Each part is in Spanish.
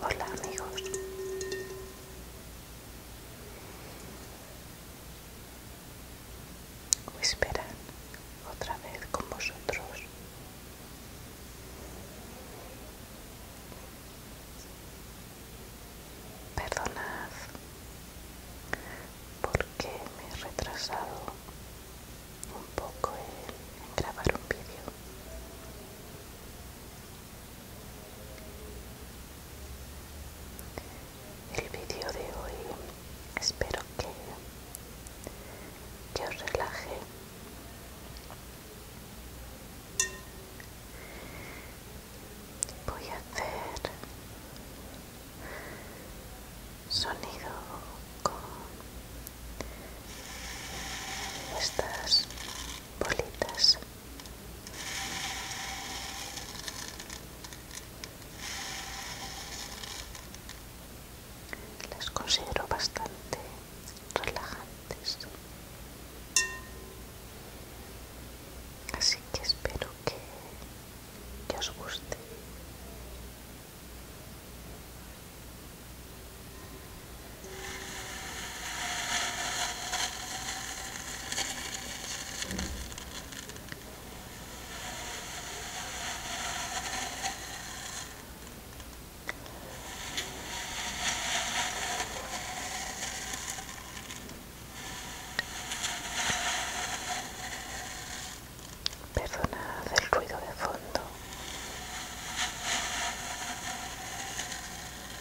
Hola amigos, esperan otra vez con vosotros. Perdonad porque me he retrasado un poco en grabar un vídeo el vídeo de hoy espero que, yo relaje voy a hacer sonido con estas bolitas las considero bastante relajantes. Así que espero que, que os guste. Perdonad el ruido de fondo.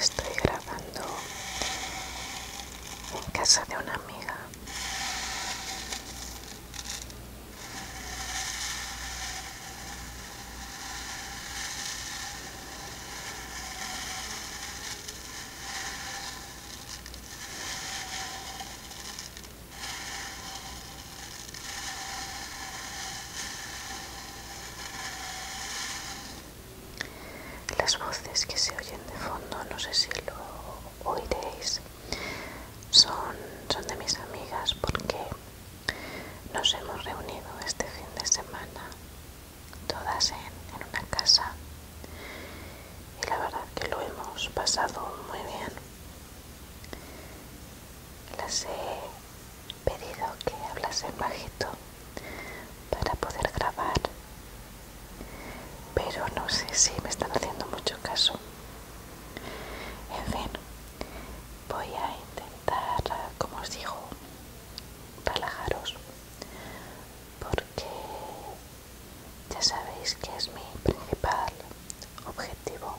Estoy grabando en casa de una amiga. Las voces que se oyen de fondo, no sé si lo oiréis, son, de mis amigas porque nos hemos reunido este fin de semana, todas en, una casa, y la verdad que lo hemos pasado muy bien. Las he pedido que hablasen bajito para poder grabar, pero no sé si me están haciendo mucho caso. En fin, voy a intentar como os digo, relajaros porque ya sabéis que es mi principal objetivo.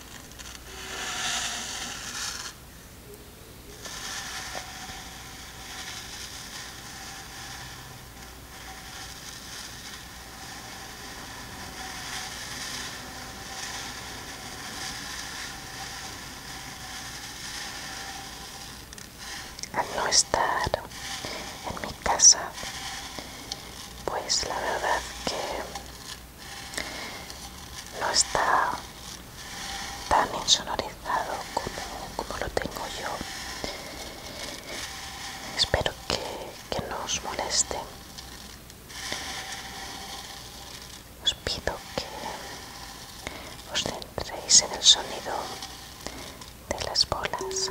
Al no estar en mi casa, pues la verdad que no está tan insonorizado como, lo tengo yo espero que, que no os moleste os pido que os centréis en el sonido de las bolas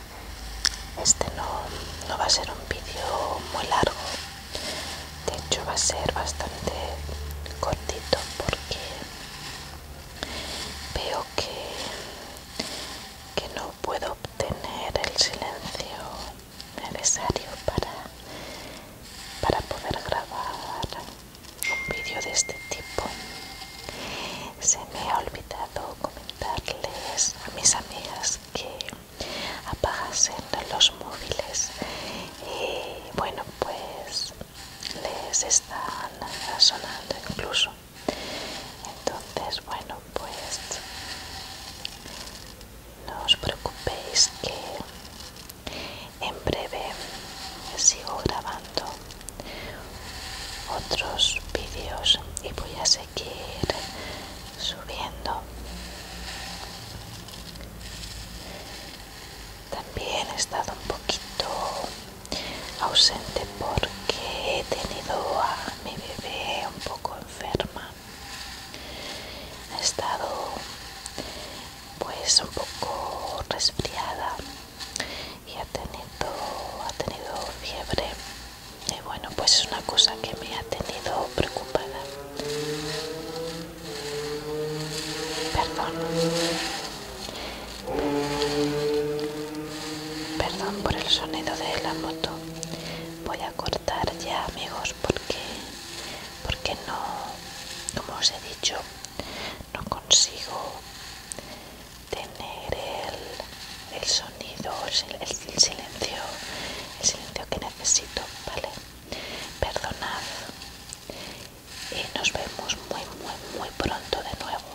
Este no, no va a ser un vídeo muy largo, de hecho va a ser bastante cortito porque veo que, que no puedo obtener el silencio necesario para, para poder grabar un vídeo de este tipo. Se me ha olvidado comentarles a mis amigas que apagasen los móviles y bueno pues les están sonando incluso entonces bueno pues no os preocupéis que en breve sigo grabando otros vídeos y voy a seguir seguir subiendo. También he estado un poquito ausente porque he tenido a mi bebé un poco enferma. Ha estado pues un poco resfriada y ha tenido, ha tenido fiebre y bueno pues es una cosa que me ha tenido preocupada perdón perdón por el sonido de la moto voy a cortar ya amigos porque porque no como os he dicho no consigo tener el el sonido, el, silencio, el silencio que necesito, ¿vale? Perdonad y nos vemos muy, muy, muy pronto de nuevo.